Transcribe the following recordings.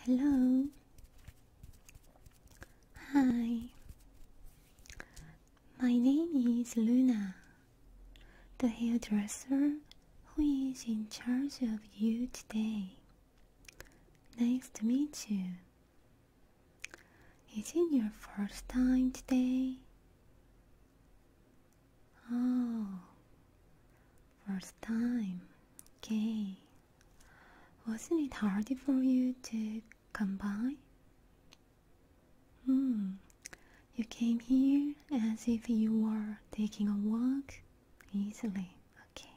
Hello. Hi. My name is Luna, the hairdresser who is in charge of you today. Nice to meet you. Is it your first time today? Oh, First time. Okay. Wasn't it hard for you to come by? Hmm. You came here as if you were taking a walk easily. Okay.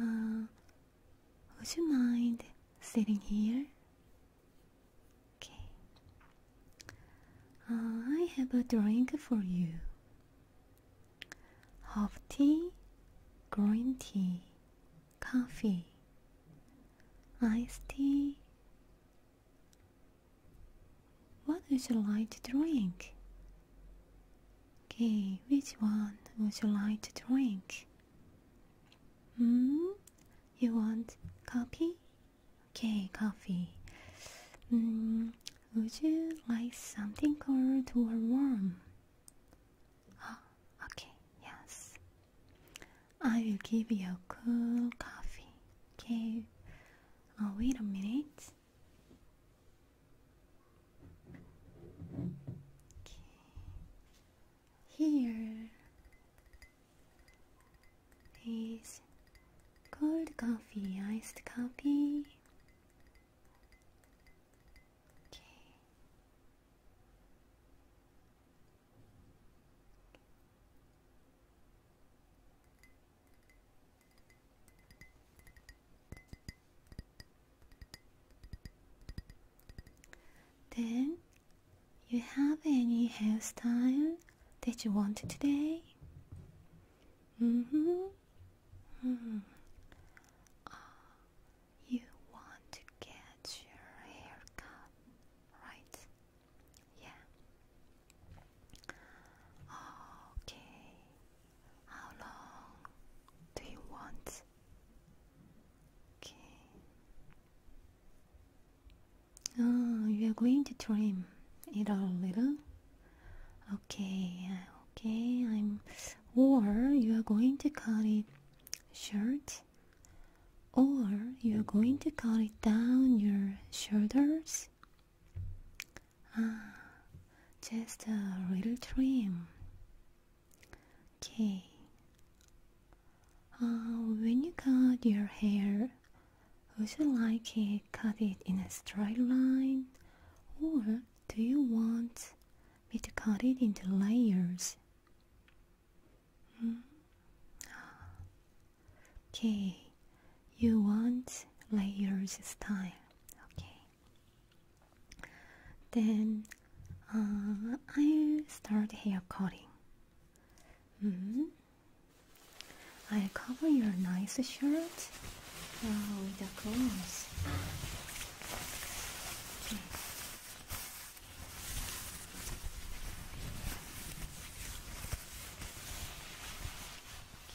Uh, would you mind sitting here? Okay. I have a drink for you. Half tea, green tea, coffee, iced tea. What would you like to drink? Okay, which one would you like to drink? Hmm? You want coffee Okay, coffee. Mm, would you like something cold or warm? Oh, okay, yes. I will give you a cool coffee. Okay, oh, wait a minute. Okay. Here. Please. Cold coffee, iced coffee. Okay. Then, you have any hairstyle that you want today? Mm hmm. Mm. you want to get your hair right? Yeah. Okay. How long do you want? Okay. Oh, you are going to trim it a little. Okay, okay, I'm. Or you are going to cut it short. Or you are going to cut it down your shoulders. Ah, just a little trim. Okay. Uh, when you cut your hair would you like it cut it in a straight line? Or do you want me to cut it into layers? Hmm. Okay, you want layers style. Okay, then uh, I'll start hair cutting. -hmm i cover your nice shirt with a cloth.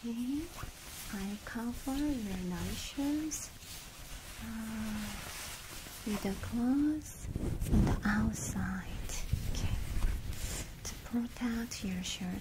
Okay. i cover your nice shirts ah, with a cloth on the outside. Okay, to protect your shirt.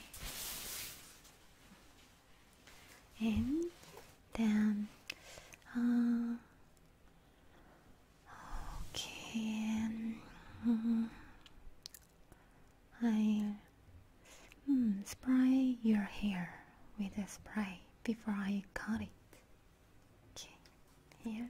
and then uh, okay mm-hmm. I hmm, spray your hair with a spray before I cut it okay here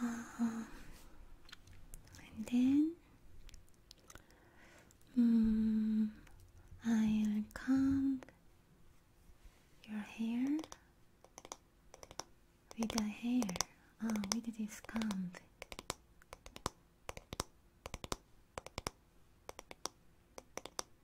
um, and then um, I'll comb your hair with the hair. Ah, oh, with this comb.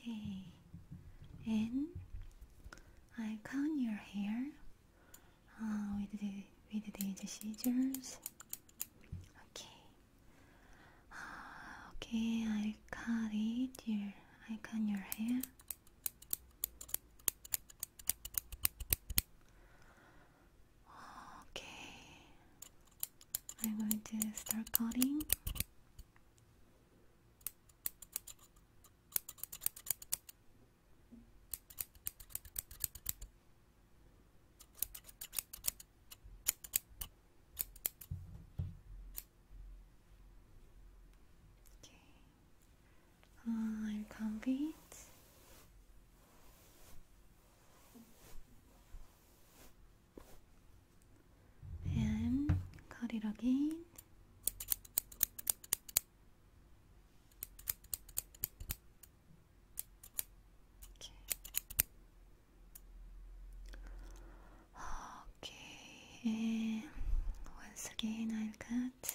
Okay, and I count your hair uh, with the with these scissors. Okay, Ah, okay, i cut it here. I cut your hair. Okay, I'm going to start cutting. Okay. Uh, are you And cut it again. Okay. Okay, once again, I'll cut.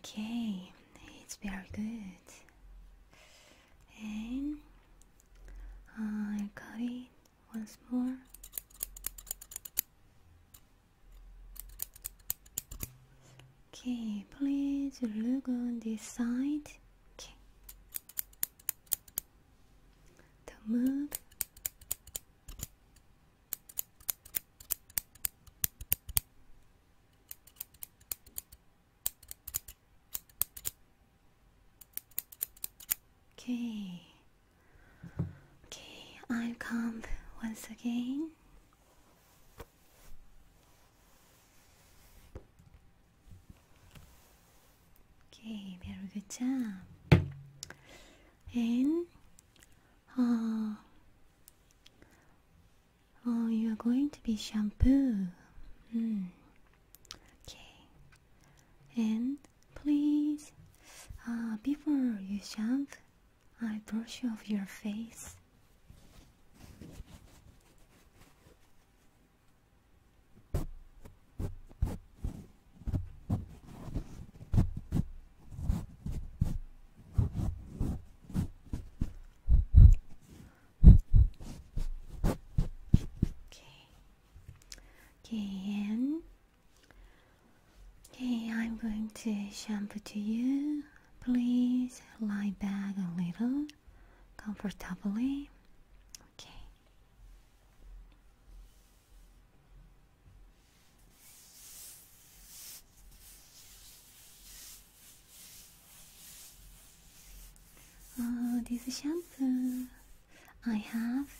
Okay, it's very good. And I'll cut it once more. Okay, please look on this side. Okay. The move. Okay. Okay, I'll come once again. Okay, very good job. And uh, oh, you are going to be shampoo. Mm. Okay. And please, uh, before you shampoo, I brush off your face. Okay. Okay, Okay, I'm going to shampoo to you. Please lie back a little comfortably. Okay. Oh, this shampoo I have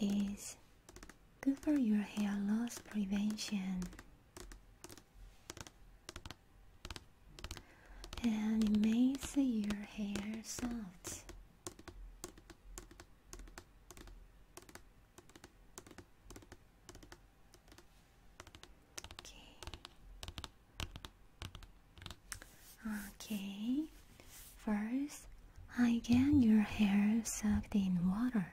is Good for your hair loss prevention. And it makes your hair soft. Okay. Okay. First, I get your hair soaked in water.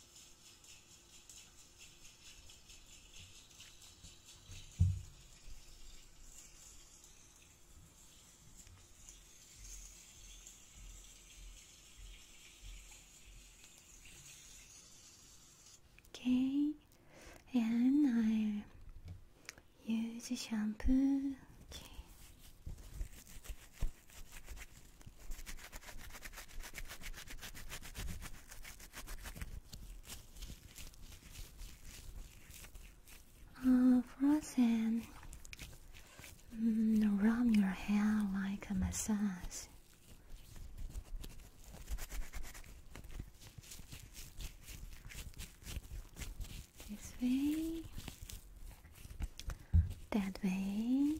Okay, and I use shampoo. Okay. Uh, frozen. Mm, rub your hair like a massage. This way, that way,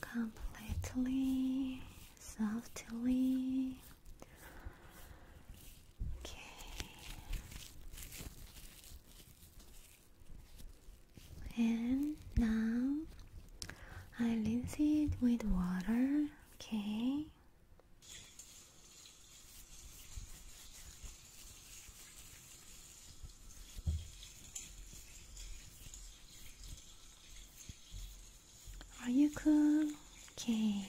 completely, softly. Okay. And now I rinse it with water. Okay. Are you cool? Okay.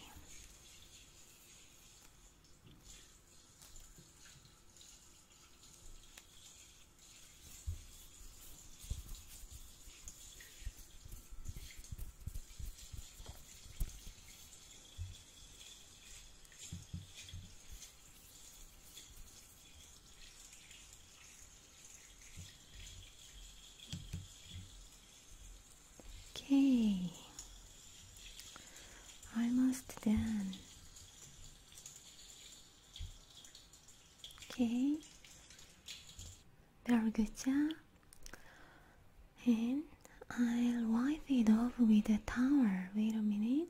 Okay, I must then. Okay, very good job. And I'll wipe it off with a towel. Wait a minute.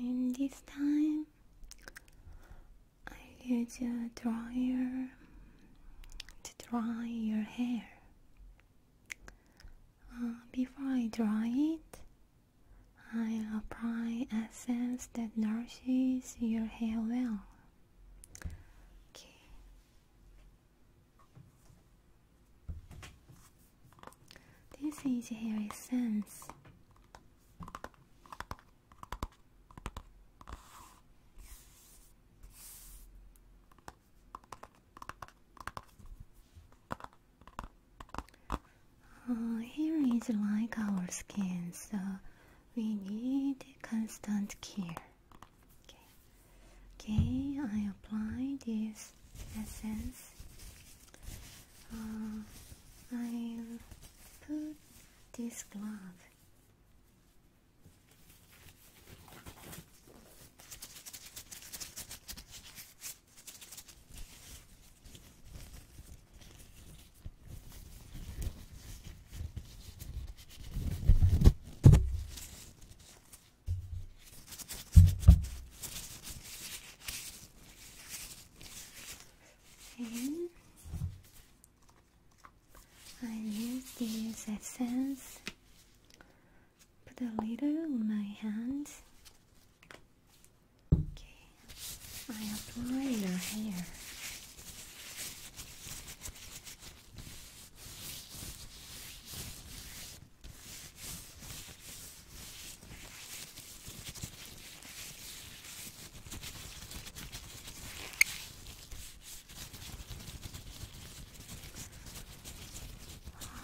And this time I use a dryer to dry your hair. Uh, before I dry it, I apply a essence that nourishes your hair well. Okay, this is her essence. Uh, oh, hair is like our skin, so we need constant care. Okay. Okay, I apply this essence. Uh, i put this glove. I use this essence, put a little on my hand. Okay, I apply your here.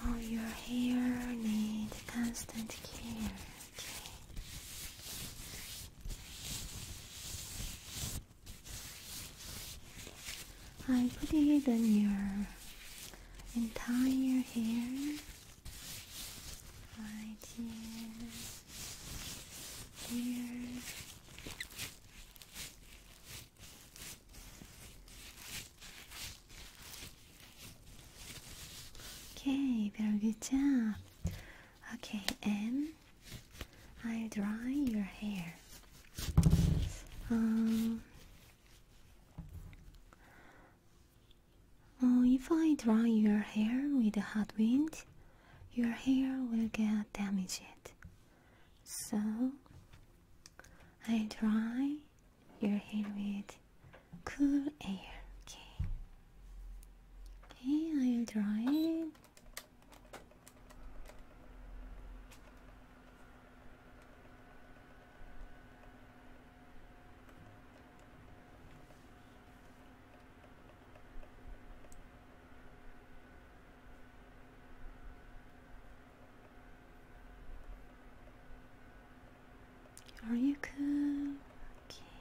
Oh, your hair need constant care. I am putting it in your entire hair right here here okay very good job okay and i dry your hair. Um, if I dry your hair with a hot wind, your hair will get damaged. So, I dry your hair with cool air. Okay. Okay, I'll dry are you cool? Okay.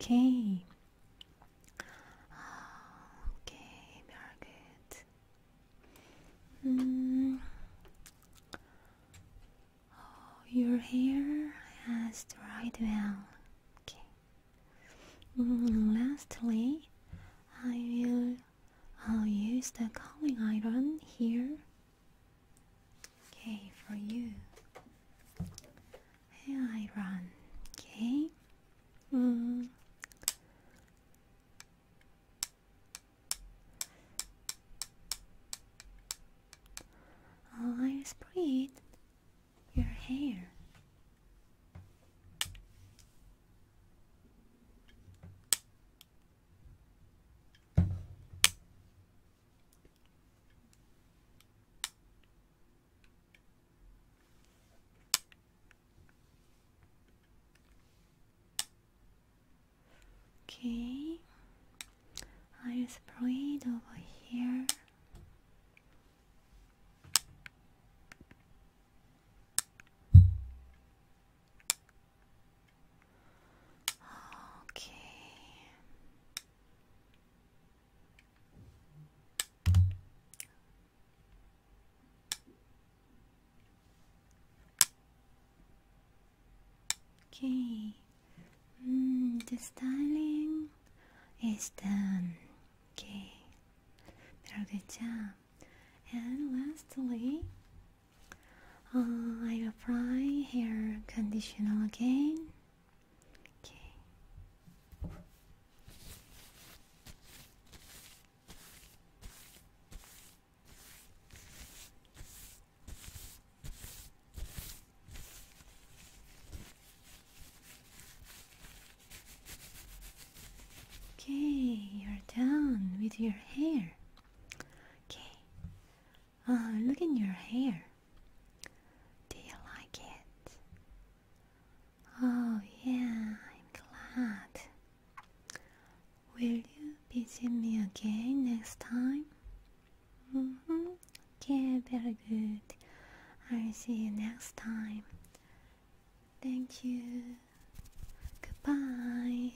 Okay. Okay, very good. Mm. Oh, your hair has dried well. Okay. Mm, lastly, I will I'll use the curling iron here Okay, for you. And I run. Okay. Mm. i spread your hair. Okay, I'll spray it over here. Okay. Okay. Mm, the styling is done. Okay. Very good job. And lastly, uh, I apply hair conditioner again. Okay. Okay, you're done with your hair. Okay, Oh, look at your hair. Do you like it? Oh, yeah, I'm glad. Will you visit me again next time? Mm hmm. Okay, very good. I'll see you next time. Thank you. Goodbye.